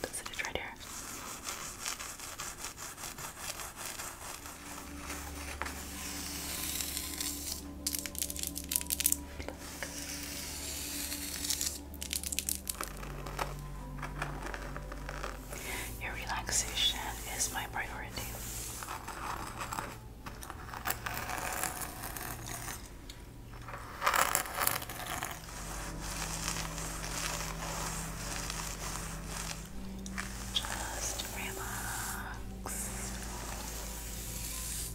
Does it is right here? Your relaxation is my priority. Just relax.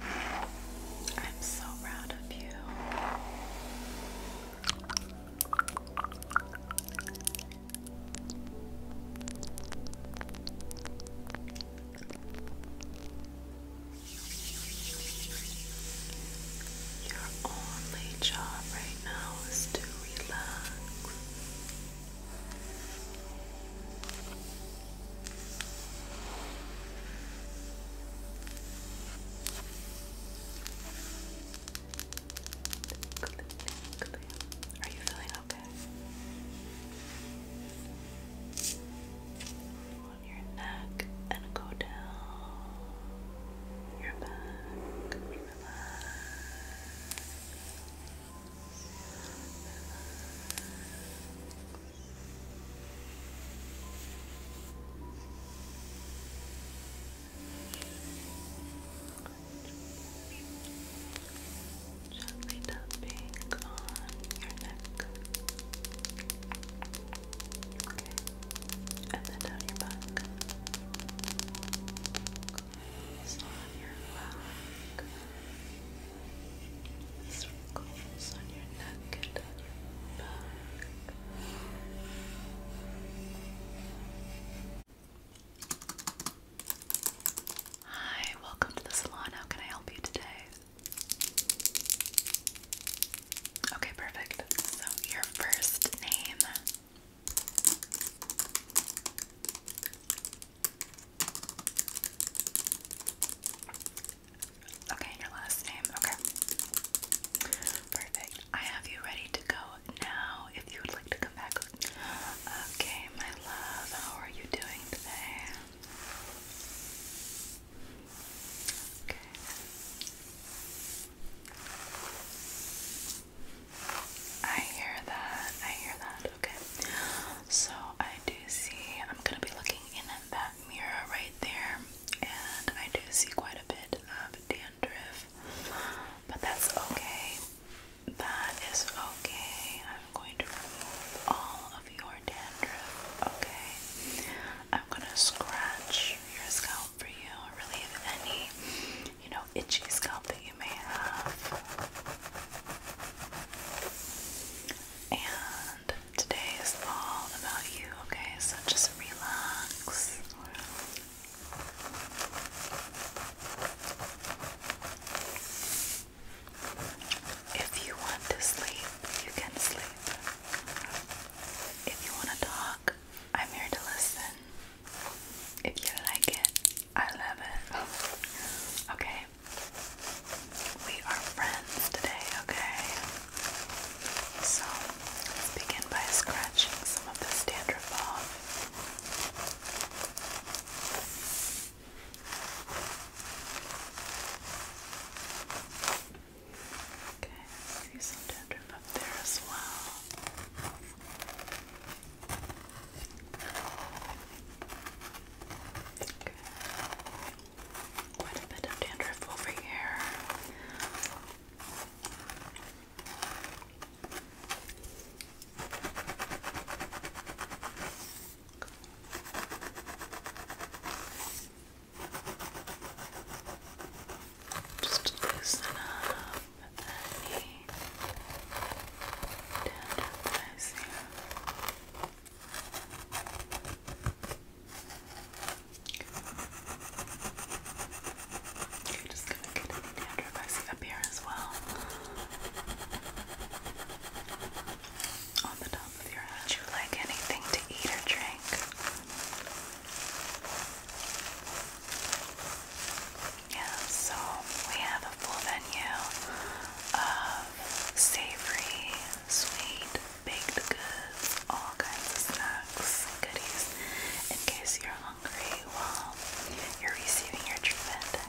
I'm so proud of you. Your only job right now is to relax. Are you feeling okay? On your neck and go down your back. Relax. Gently tapping on your neck. Okay. And then down your back. It's on your back on your neck, and on your back. Hi, welcome to the salon. How can I help you today? Okay, perfect. So, your first name. Okay, your last name. Okay. Perfect. I have you ready to go now if you would like to come back. Okay, my love, how are you doing today? Okay. I hear that. I hear that. Okay. So I do see I'm gonna be looking in that mirror right there and I do see quite a bit of dandruff, but that's okay. That is okay. I'm going to remove all of your dandruff, okay? I'm gonna scratch your scalp for you, relieve any, you know, itchy scalp that you may have. And today is all about you, okay? So just relax. If you want to sleep, you can sleep. If you want to talk, I'm here to listen. If you like it, I love it. Okay? We are friends today, okay? So begin by scratching some of this dandruff off. Okay, I some dandruff up there as well. Okay. Quite a bit of dandruff over here. Just loosen up any dandruff that Okay, just gonna get the Neanderthal up here as well. On the top of your head. Would you like anything to eat or drink? Yeah, so we have a full menu of savory, sweet, baked goods, all kinds of snacks, goodies, in case you're hungry while you're receiving your treatment.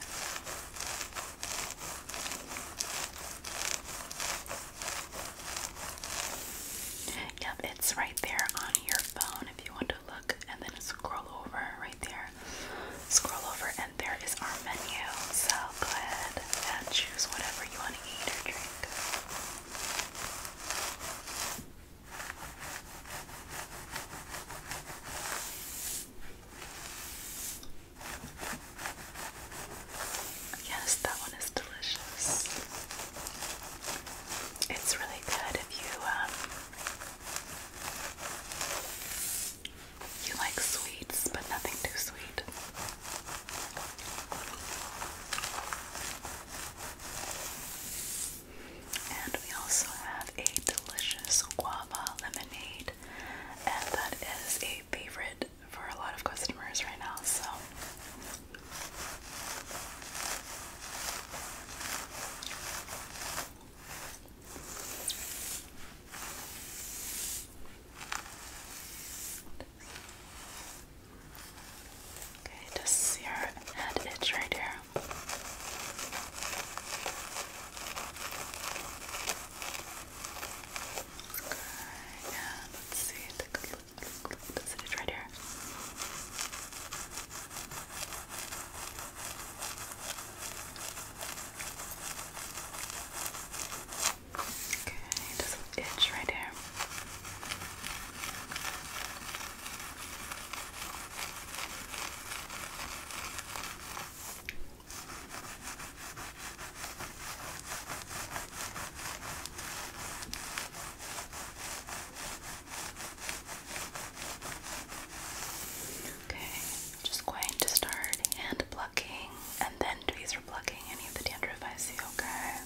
Yep, it's right there on your phone if you want to look and then scroll over right there. Scroll over and there is our menu. So go ahead and choose whatever you want to eat or drink. Yes, that one is delicious. It's really good if you um you like sweets, but nothing too sweet. And we also have a delicious guava lemonade, and that is a favorite for a lot of customers right now. So, Okay, just your head itch right here. Okay, yeah, let's see. Does it itch right here? Okay, does it itch right here? Okay, just going to start hand plucking and then tweezer plucking any of the dandruff I see, okay?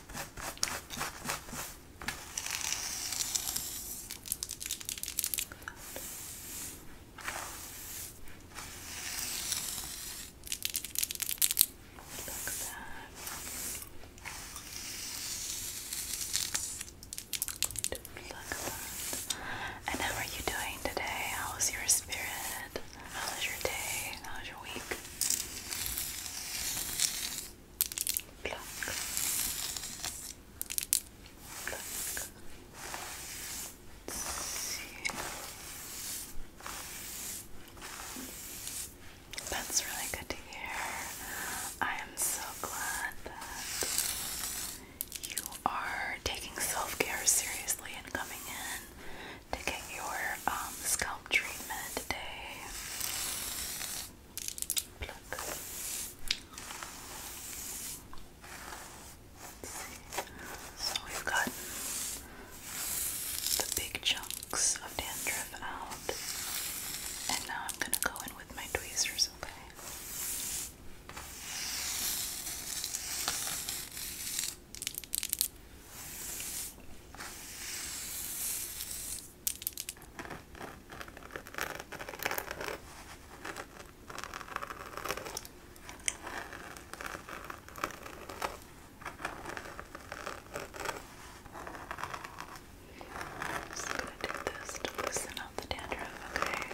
And how are you doing today? How was your spirit? How was your day? How was your week? Pluck. That's really good to hear. I am so glad that you are taking self care seriously and coming in Taking your um, scalp treatment today. So we've got the big chunks of dandruff out, and now I'm gonna go in with my tweezers, okay? I'm just gonna do this to loosen up the dandruff, okay? Okay.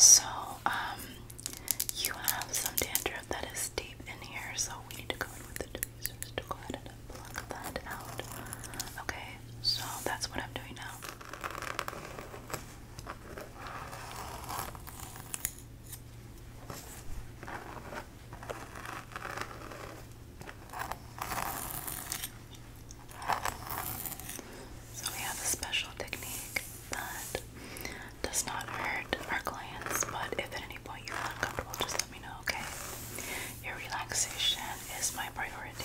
So, um, you have some dandruff that is deep in here, so we need to go in with the tweezers to go ahead and pluck that out. Okay, so that's what I'm doing now. So we have a special technique that does not hurt our clients, but if at any point you feel uncomfortable, just let me know, okay? Your relaxation is my priority.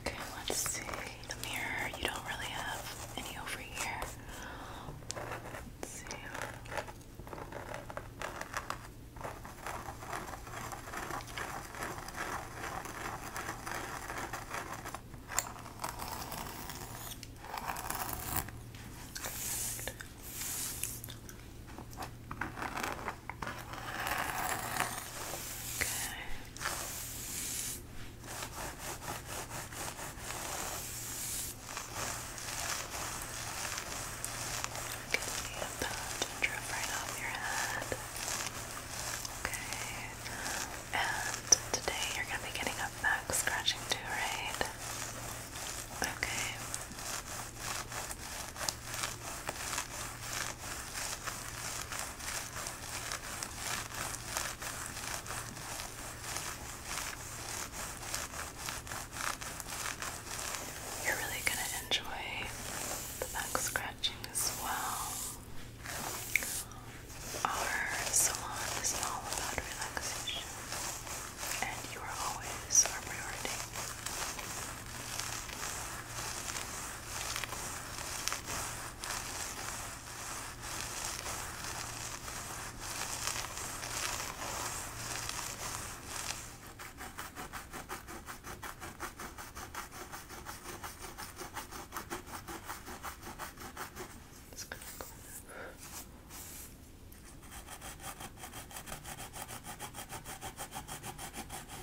Okay, let's see. The mirror, you don't really have any over here. Let's see get the dandruff right off your head. Okay. And today you're going to be getting a back scratching too, right? Okay. You're really going to enjoy the back scratching as well. Our salon is all about relaxation, and you are always our priority. Just gonna go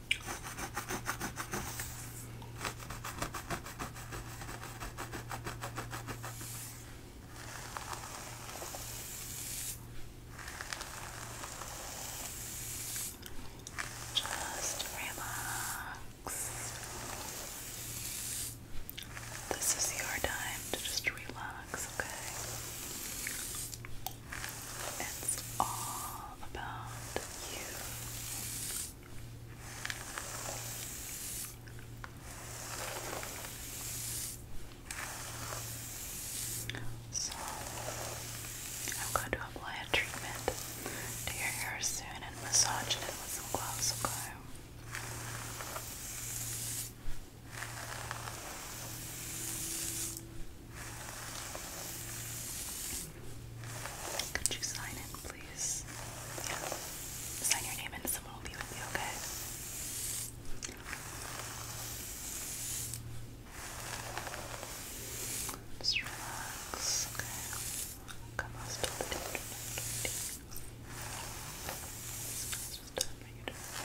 Just relax. This is your time to just relax, okay? It's all about you. So, I'm going to apply a treatment to your hair soon and massage it with some gloves, okay? Could you sign it, please? Sign your name and someone will be okay? Just relax, Come on, stop it. It's just time for you to relax.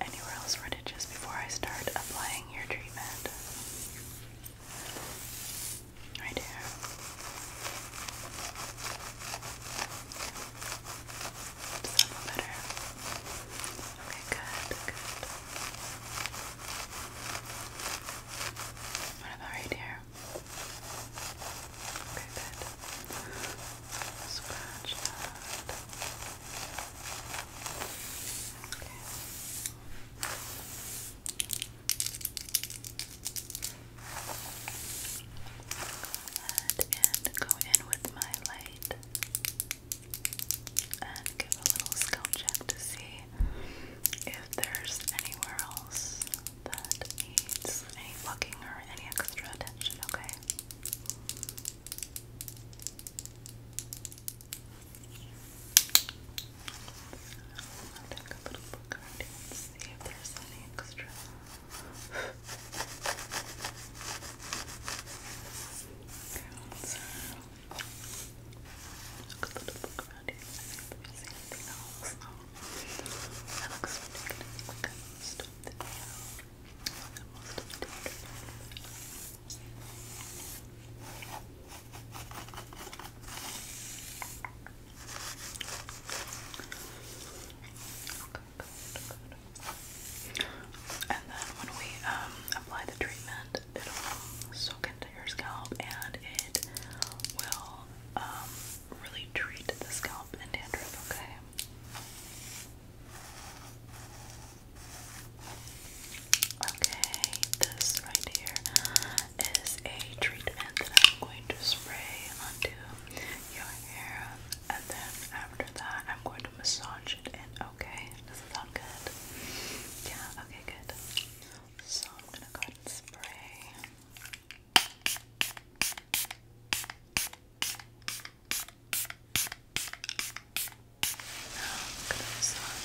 Anywhere else religious before I start applying your treatment? right here. Is that better? Okay, good, good. What about right here? Okay, good. Scratch Okay. Go ahead and go in with my light and give a little scalp check to see if there's anywhere else that needs any plucking or any extra attention, okay? I'll take a little look around just see if there's any extra. okay, Look at the book around here. See anything else? That looks pretty good. I got I got most of the Okay, good, And then when we um, apply the treatment, it'll soak into your scalp and it will um, really treat the scalp and dandruff, okay? Okay, this right here is a treatment that I'm going to spray onto your hair, and then after that, I'm going to massage it in. Okay, does it sound good? Yeah, okay, good. So I'm gonna go and spray. Now gonna massage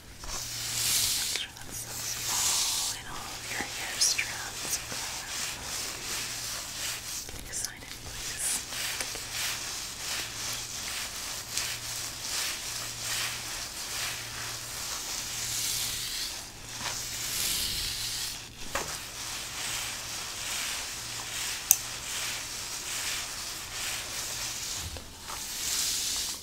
Sure that's so small in all of your hair strands. Can you sign it, please?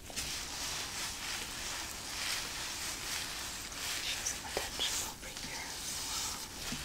Show some attention over here as well. Good.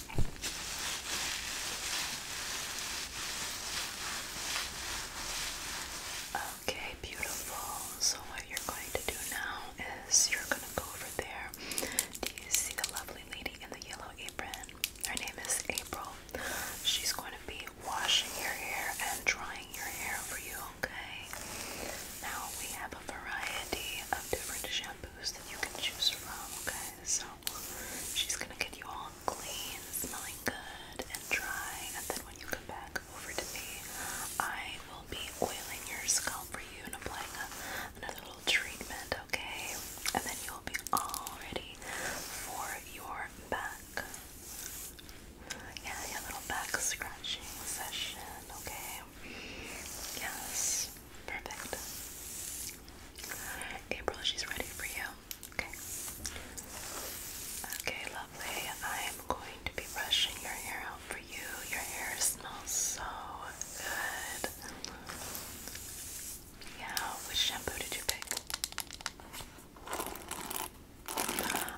Okay, beautiful. So, what you're going to do now is you're going to go over there. Do you see the lovely lady in the yellow apron? Her name is April. She's going to be washing your hair and drying your hair for you, okay? Now, we have a variety of different shampoos that you can choose from, okay? So she's gonna get you all clean, smelling good and dry, and then when you come back over to me, I will be oiling your scalp for you and applying a, another little treatment, okay? And then you'll be all ready for your back. Yeah, yeah, little back scratching session, okay? Yes. Perfect. April, she's ready for you. Okay. Okay, lovely. I'm going to be brushing your hair out for you. Your hair smells so good. Yeah, which shampoo did you pick?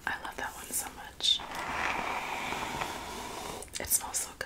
I love that one so much. It smells so good.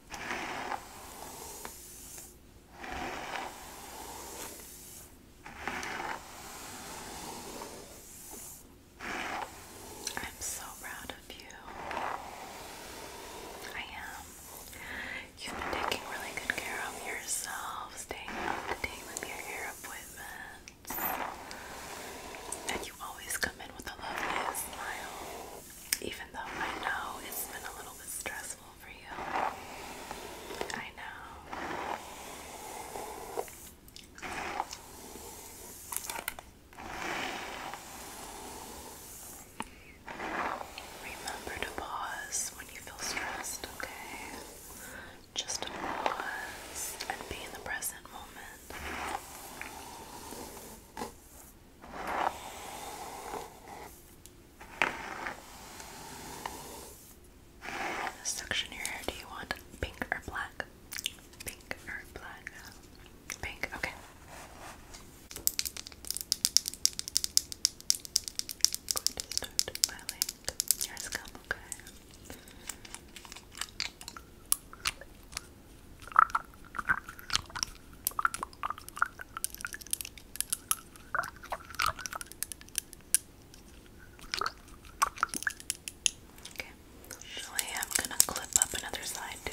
I'm so proud of you. I am. You've been taking really good care of yourself, staying up to date with your hair appointments. And you always come in with a lovely smile even though I know it's been a little bit stressful for you. I know. Remember to pause when you feel stressed, okay? Just to pause and be in the present moment. Section your hair. Do you want pink or black? Pink or black? Pink. Okay. I'm your scalp. Okay. Okay, so I am going to clip up another side too.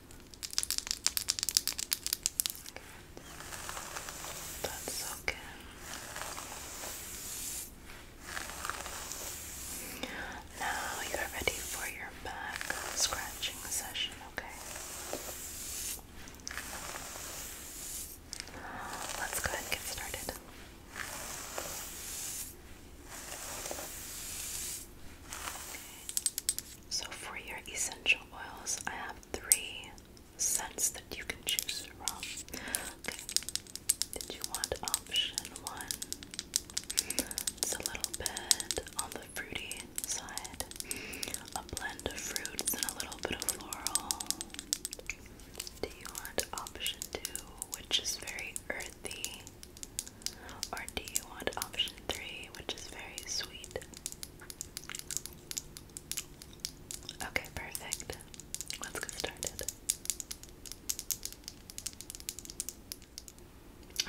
That's okay. Now you're ready for your back scratching session, okay? Let's go ahead and get started. So, for your essential oils, I have three scents that you can choose from. Okay, did you want option one? It's a little bit on the fruity side, a blend of fruits and a little bit of floral. Do you want option two, which is very earthy? Or do you want option three, which is very sweet. Okay, perfect. Let's get started.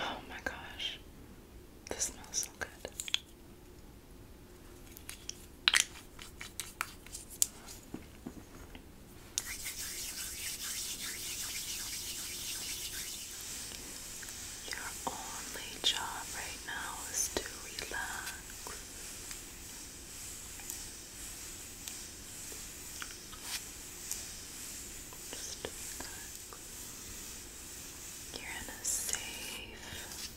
Oh my gosh, this smells so good. Your only job right now is to relax. Just relax. You're in a safe,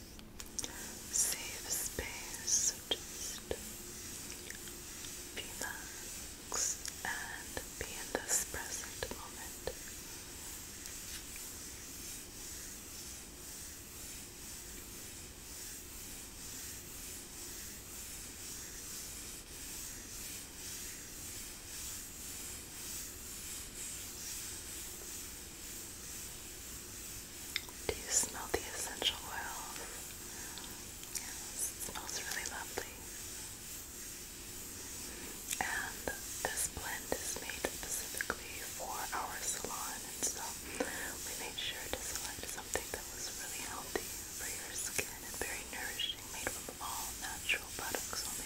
safe space. So just relax and be in this present moment. Do you smell the essential oils? Yes, it smells really lovely. And this blend is made specifically for our salon, and so we made sure to select something that was really healthy for your skin and very nourishing, made from all natural products only,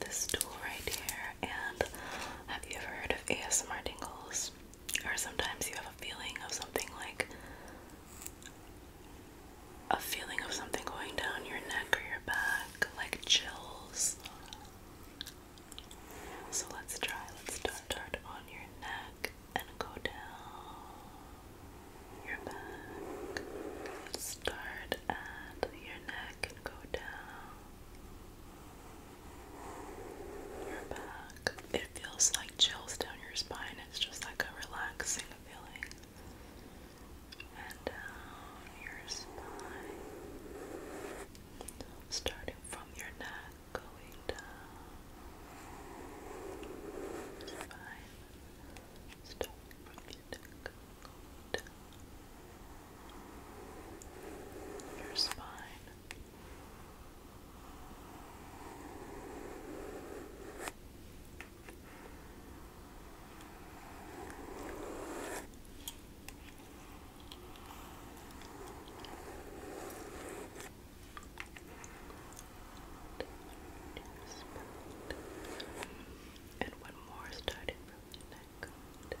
This tool right here, and have you ever heard of ASMR tingles? or sometimes you have a feeling of something like a feeling of something going down your neck or your back, like chills. So let's try. Let's start on your neck and go down your back. start at your neck and go down your back. It feels like chills down your spine. It's just like a relaxing feeling. And down your spine. Starting from your neck, going down. Spine. Starting from your neck, down. Your spine. And one more starting from the neck down your back.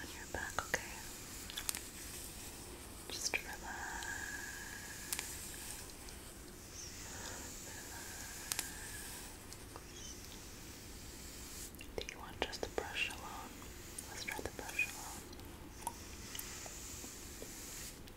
On your back, okay? Just relax. Do you want just the brush alone? Let's try the brush alone.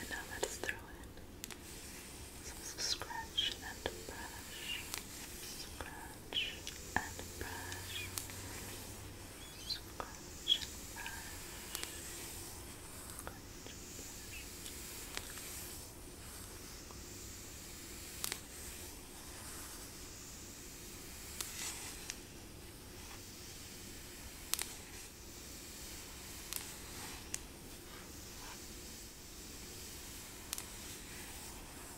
And now let's throw in some scratch and brush, Scratch and brush. and brush. and brush. Just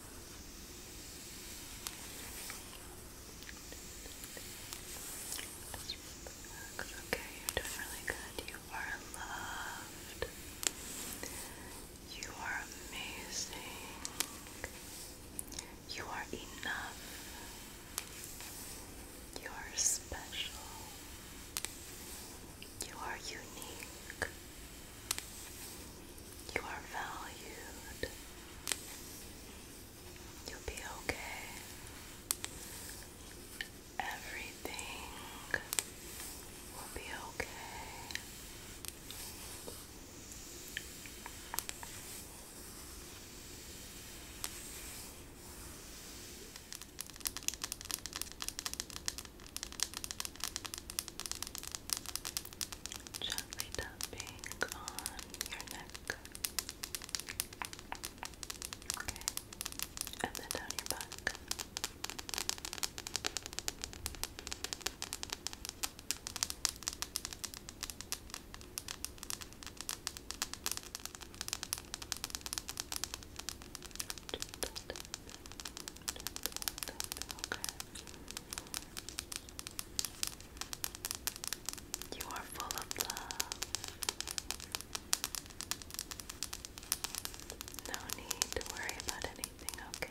Okay, you're doing good. You are loved. You are amazing. You are enough. You are special. You are unique. You are valued. You'll be okay. Everything will be okay gently tapping on your neck. Okay. And then down your back. You are full of love. No need to worry about anything, okay?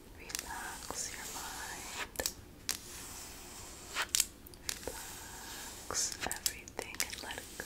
Relax your mind. Relax everything and let it go.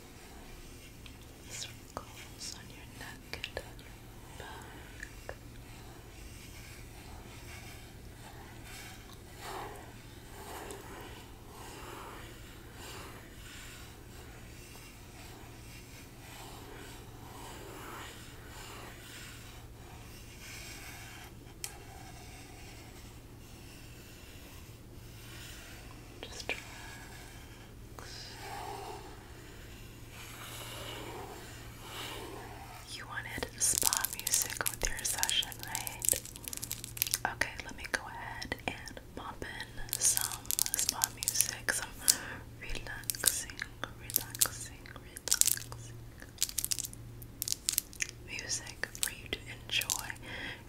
Circles on your neck and on your back. Just relax. You wanted spa music with your session, right? Okay, let me go ahead and pop in some spa music, some relaxing, relaxing, relaxing music for you to enjoy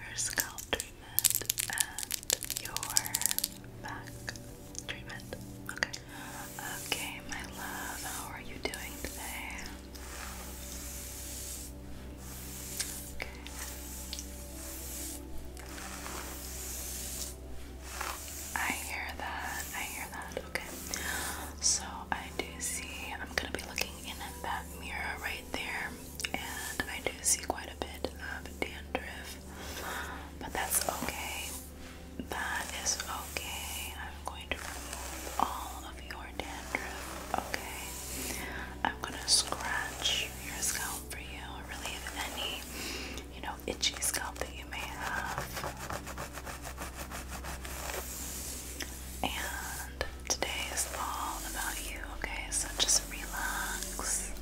your scalp treatment and your back treatment. Okay. Okay, my love, how are you doing today? Okay. I hear that. I hear that. Okay. So I do see I'm gonna be looking in that mirror right there and I do see quite a bit of dandruff, but that's okay. That is okay. I'm going to remove all of your dandruff, okay? I'm gonna scratch your scalp for you, relieve any, you know, itchy scalp that you may have. And Today is all about you, okay? So just relax.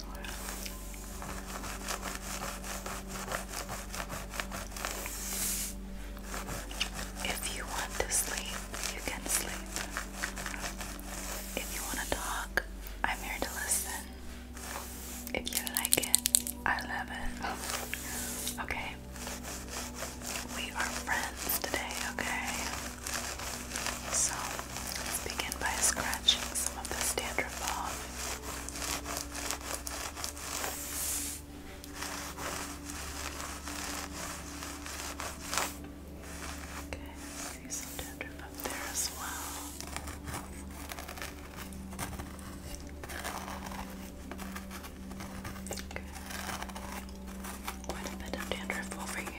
If you want to sleep, you can sleep. If you want to talk, I'm here to listen. If you like it, I love it. Okay? We are friends today, okay? So begin by scratching some of this dandruff off. Okay, see some dandruff up there as well. Okay. Quite a bit of dandruff over here.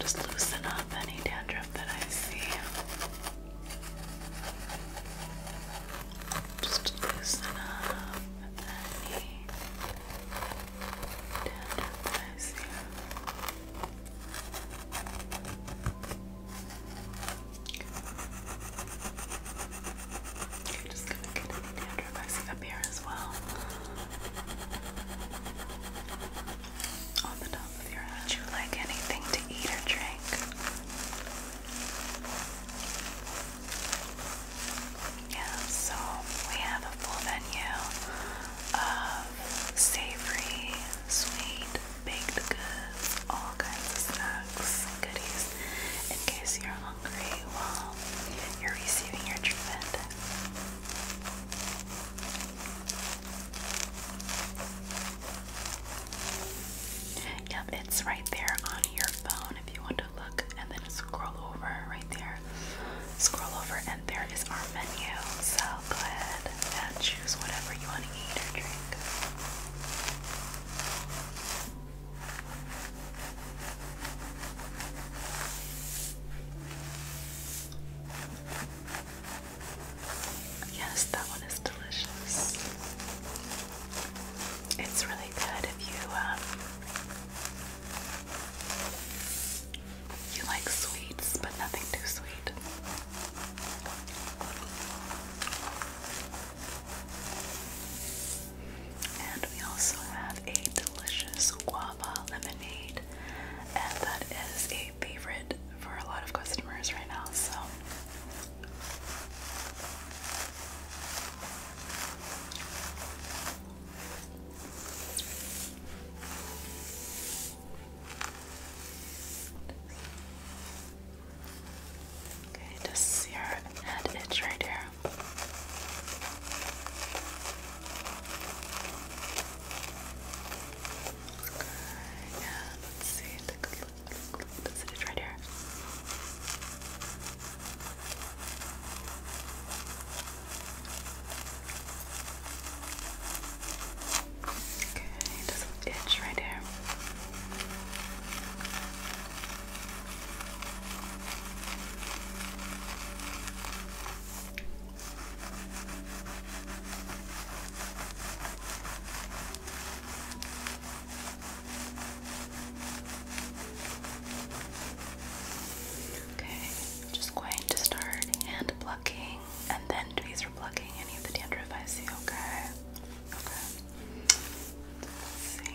Just loosen up any dandruff that I see. Just loosen up any tenderness just gonna get the dandruff up here as well. On the top of your head. Would you like anything to eat or drink? Yeah, so we have a full menu of savory, sweet, baked goods, all kinds of snacks goodies in case you're hungry while you're receiving your treatment. Yep, it's right there on your phone if you want to look and then scroll over right there. Scroll over and there is our menu. So go ahead and choose whatever you want to eat or drink. Yes, that one is delicious. It's really good if you um, you like sweets, but nothing too sweet. And we also have a delicious guava lemonade, and that is a favorite for a lot of customers right now. So. Okay, just your head itch right here. Okay, yeah, let's see. Because it is right here. Okay, just an itch right here. Okay, just going to start hand plucking and then tweezer plucking any of the dandruff I see, okay? Okay. see.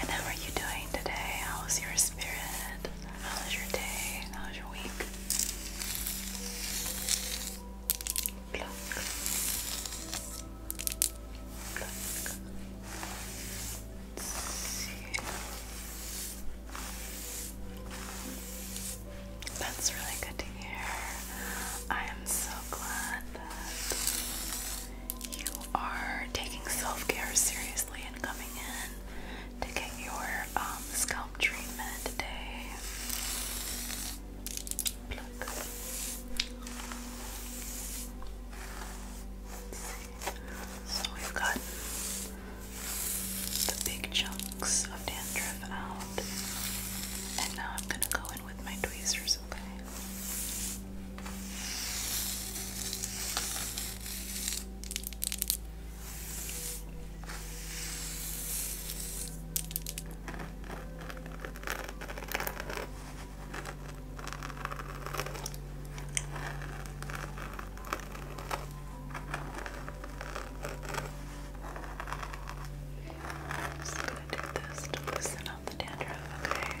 And how are you doing today? How is your spirit? How is your day? How is your week? Pluck. Pluck. Let's see. That's really good to hear. I am so glad that you are taking self care seriously and coming in to get your um, scalp treatment today. So we've got the big chunks of dandruff out, and now I'm gonna go in with my tweezers, okay? I'm just gonna do this to loosen up the dandruff, okay? Okay.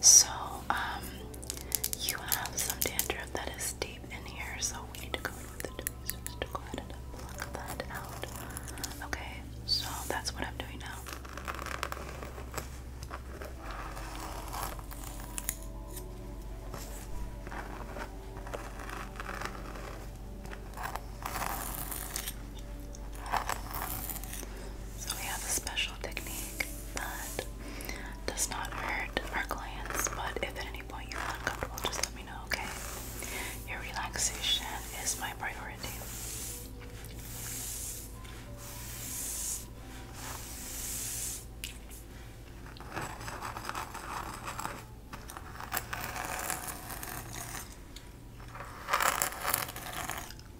So, um, you have some dandruff that is deep in here, so we need to go in with the tweezers to go ahead and pluck that out. Okay, so that's what I'm doing now. So we have a special technique that does not hurt our clients, but if at any point you feel uncomfortable, just let me know, okay? Your relaxation is my priority.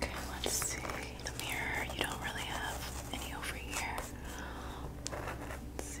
Okay, let's see. The mirror, you don't really have any over here. Let's see.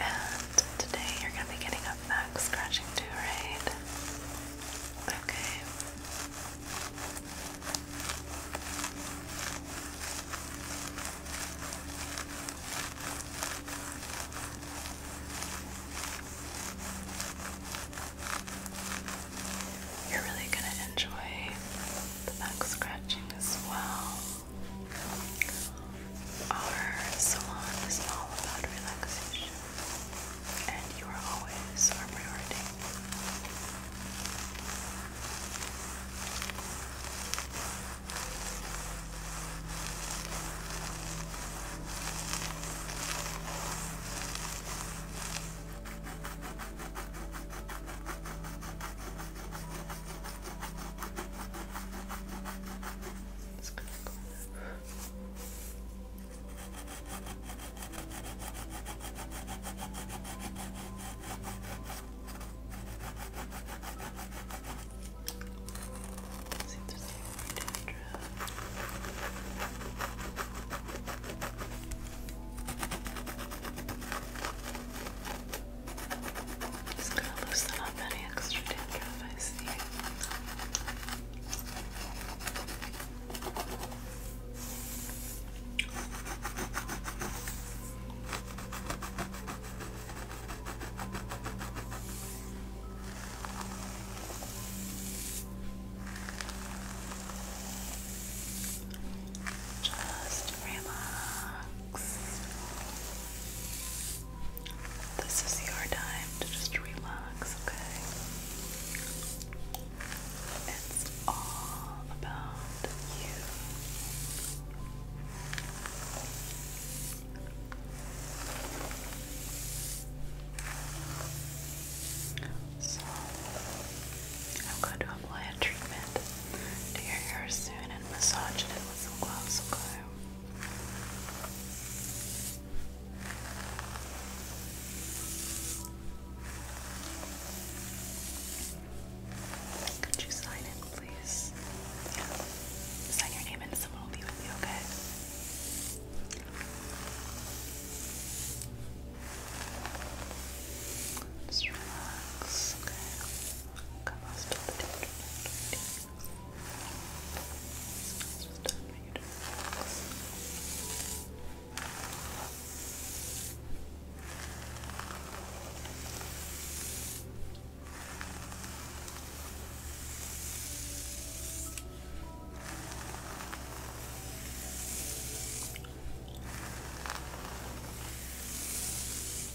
And today you're going to be getting a back scratching too, Okay. You're really going to enjoy the back scratching as well. Our salon is all about relaxation, and you are always our priority. It's kind of cool. It's interesting Thank just gonna loosen up any extra dandruff I see. Just relax. This is your time to just relax, okay? It's all about you. So, I'm going to apply a treatment to your hair soon and massage it with some gloves, okay? Could you sign in, please? Yeah. Sign your name and someone will be with you, okay? Just relax, okay? Come on, stop it. Don't do it. It's just time for you to relax. Good.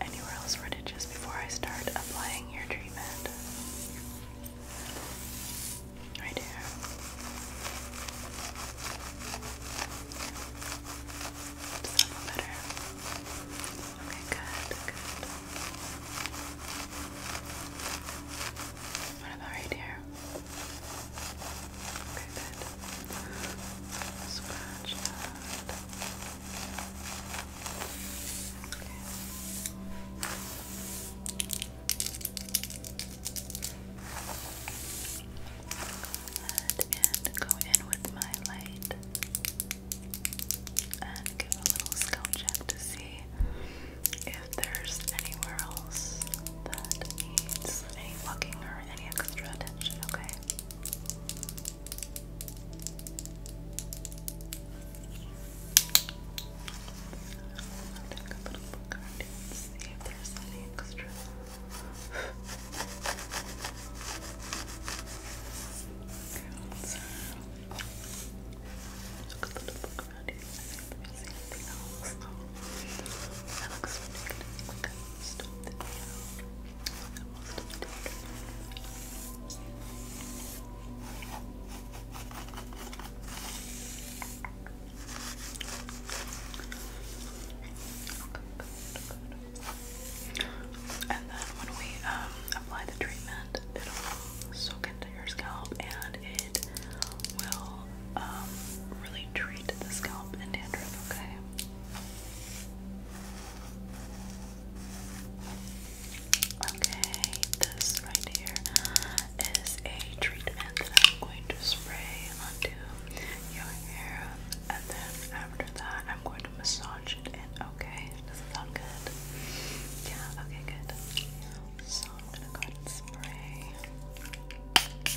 Anywhere else ridges before I start applying your treatment? Right here. better? Okay, good, good. What about right here? Okay, good. Scratch that. And go in with my light and give a little scalp check to see if there's anywhere else that needs any plucking or any extra attention, okay? take a little look around see if there's any extra. Look a little look around see if there's anything else. that looks really good most And then when we um, apply the treatment, it'll soak into your scalp and it will um, really treat the scalp and dandruff, okay? Okay, this right here is a treatment that I'm going to spray onto your hair, and then after that, I'm going to massage it in. Okay, does it sound good? Yeah, okay, good. So, I'm gonna go and spray. Okay.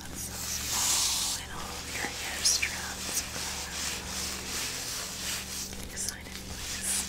That's so small and all of your hair strands Sign in place. Okay.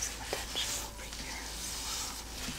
some attention over here as well. Okay.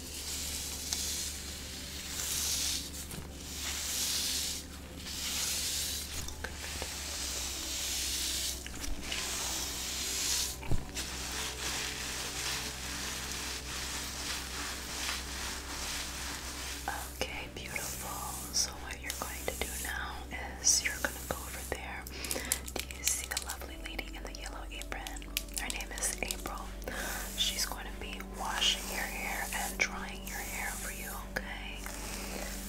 Okay, beautiful. So what you're going to do now is you're going to go over there. Do you see the level? lady in the yellow apron. Her name is April. She's going to be washing your hair and drying your hair for you, okay?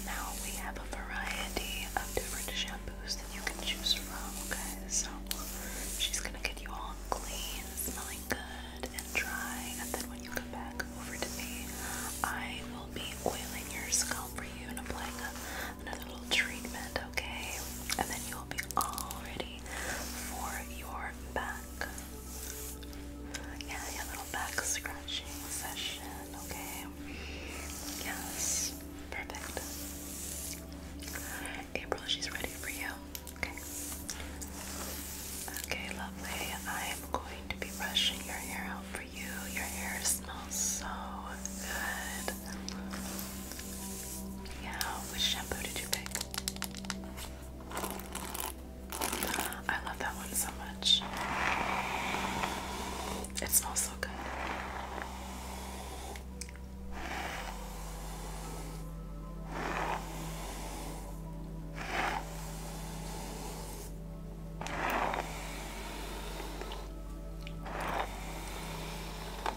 Now we have a variety of different shampoos that you can choose from, okay? So she's going to get you all clean, smelling good, and dry. And then when you come back over to me, I will be oiling your scalp for you and applying another little treatment, okay? And then you'll be all ready for your back. Yeah, yeah, little back scratching session, okay? Yes, perfect. April, she's ready for you. Okay, lovely. I'm going to be brushing your hair out for you. Your hair smells so good. Yeah, which shampoo did you pick? I love that one so much. It smells so good.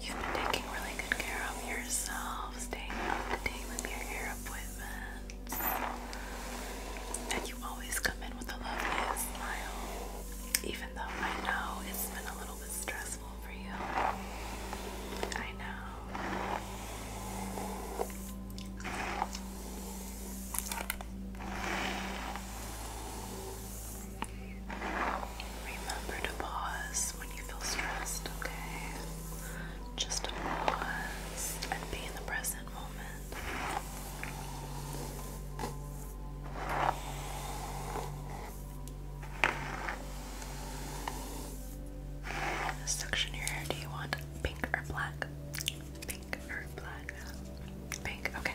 You've been taking really good care of yourself, staying up to date with your hair appointments. And you always come in with a lovely smile, even though I know it's been a little bit stressful for you. I know. Remember to pause when you feel stressed, okay? Just pause and be in the present moment. This section here, do you want pink or black? Pink or black? Pink, okay.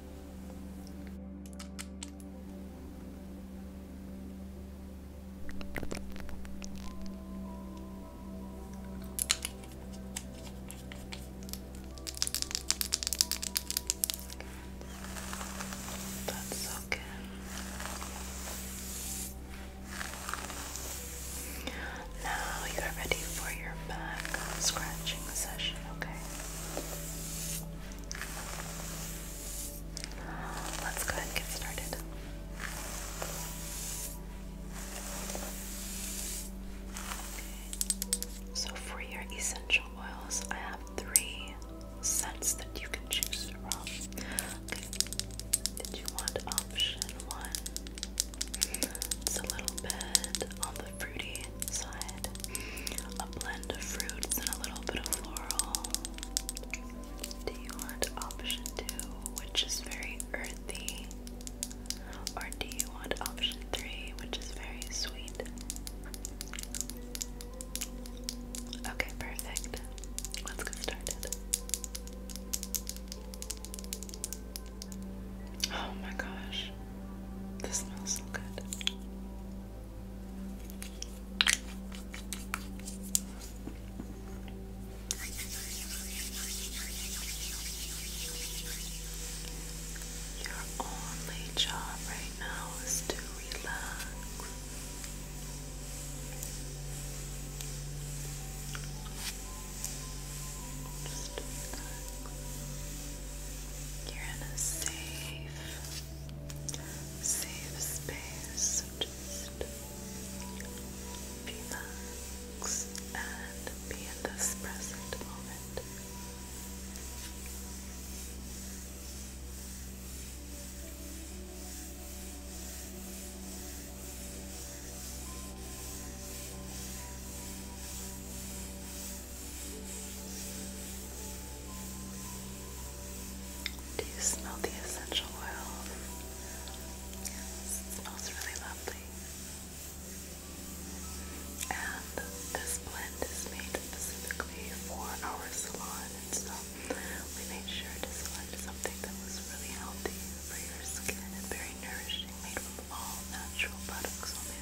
That's okay. Now you're ready for your back scratching session, okay? Let's go ahead and get started. So, for your essential oils, I have three scents that you can choose from. did you want option one? It's a little bit on the fruity side a blend of fruits and a little bit of floral. Do you want option two, which is very earthy? Or do you want option three, which is very sweet? Okay, perfect. Let's get started. Oh my gosh, this smells so good. Your only job right now is to relax. You're in a safe Save space, just relax and be in this present moment. Do you smell the essential oil? Yes, it smells really lovely. And this blend is made specifically for our salon, and so we made sure to select something that was really healthy for your skin and very nourishing, made from all natural products only,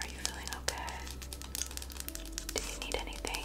Are you feeling okay? Do you need anything?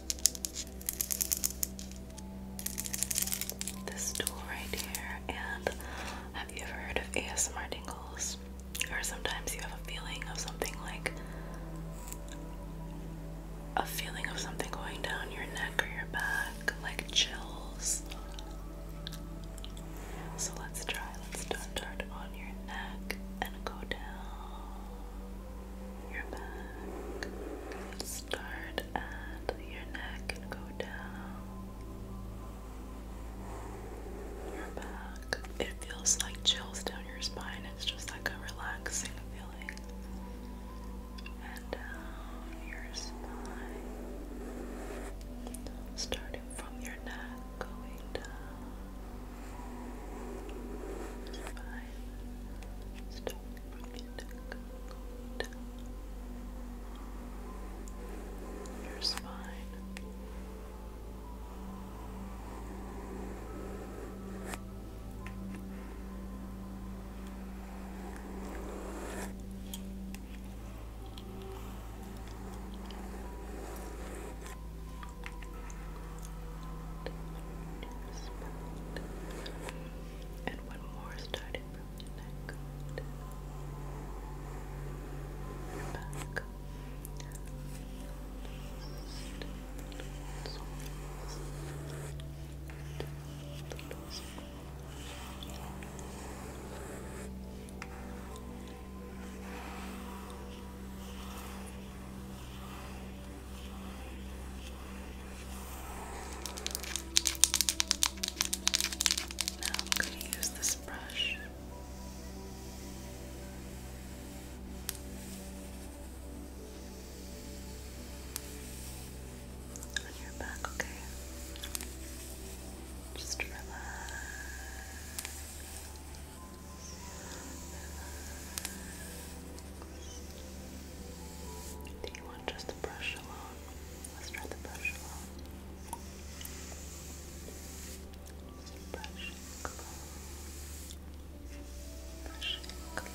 this tool right here. And have you ever heard of ASMR tingles? Or sometimes you have a feeling of something like a feeling of something going down your neck or your back, like chills. So let's try. Let's start on your neck and go down your back. Start at your neck and go down. Your back. It feels like chills down your spine. It's just like a relaxing feeling. And down your spine. Starting from your neck, going down. Five. Stop it. Go down. Your spine. Your and one more starting from the neck your back Good. Now I'm going to use this brush. On your back, okay? Just relax. relax. Do you want just the brush alone? Let's try the brush alone. Just brushing alone. Brushing alone. Brushing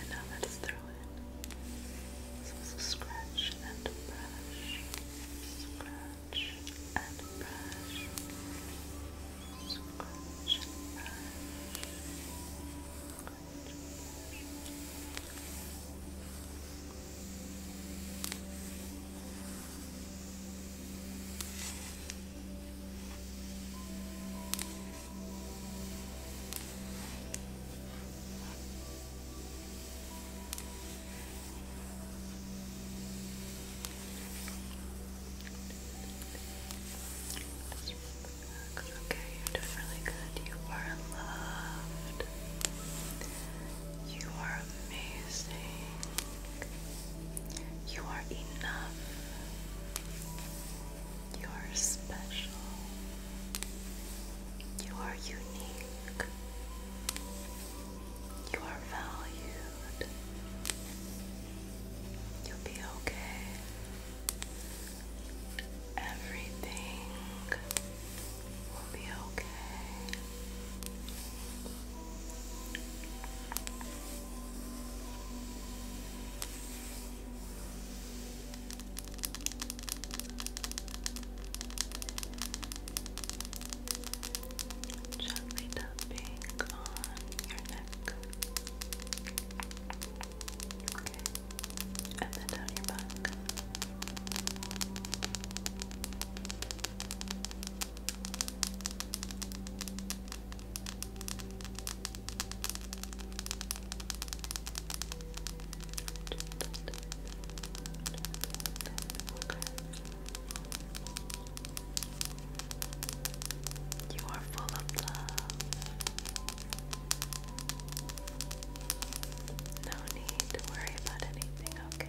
And now let's throw in some scratch and brush, scratch and brush, scratch and brush. Scratch. It's okay, you're really good. You are loved. You are amazing. You are enough. You are special. You are unique. You are valued. You'll be okay. Everything will be okay. Gently tapping on your neck. Okay. And then down your back. You are full of love. No need to worry about anything, okay?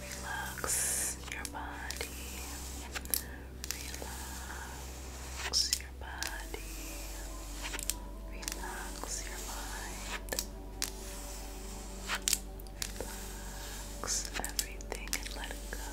Relax your body. Relax your body. Relax your mind. Relax everything and let it go.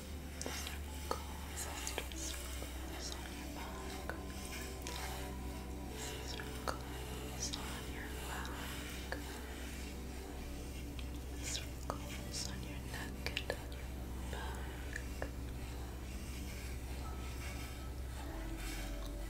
circles, little circles on your back, circles on your back, circles on your neck and on your back. Circles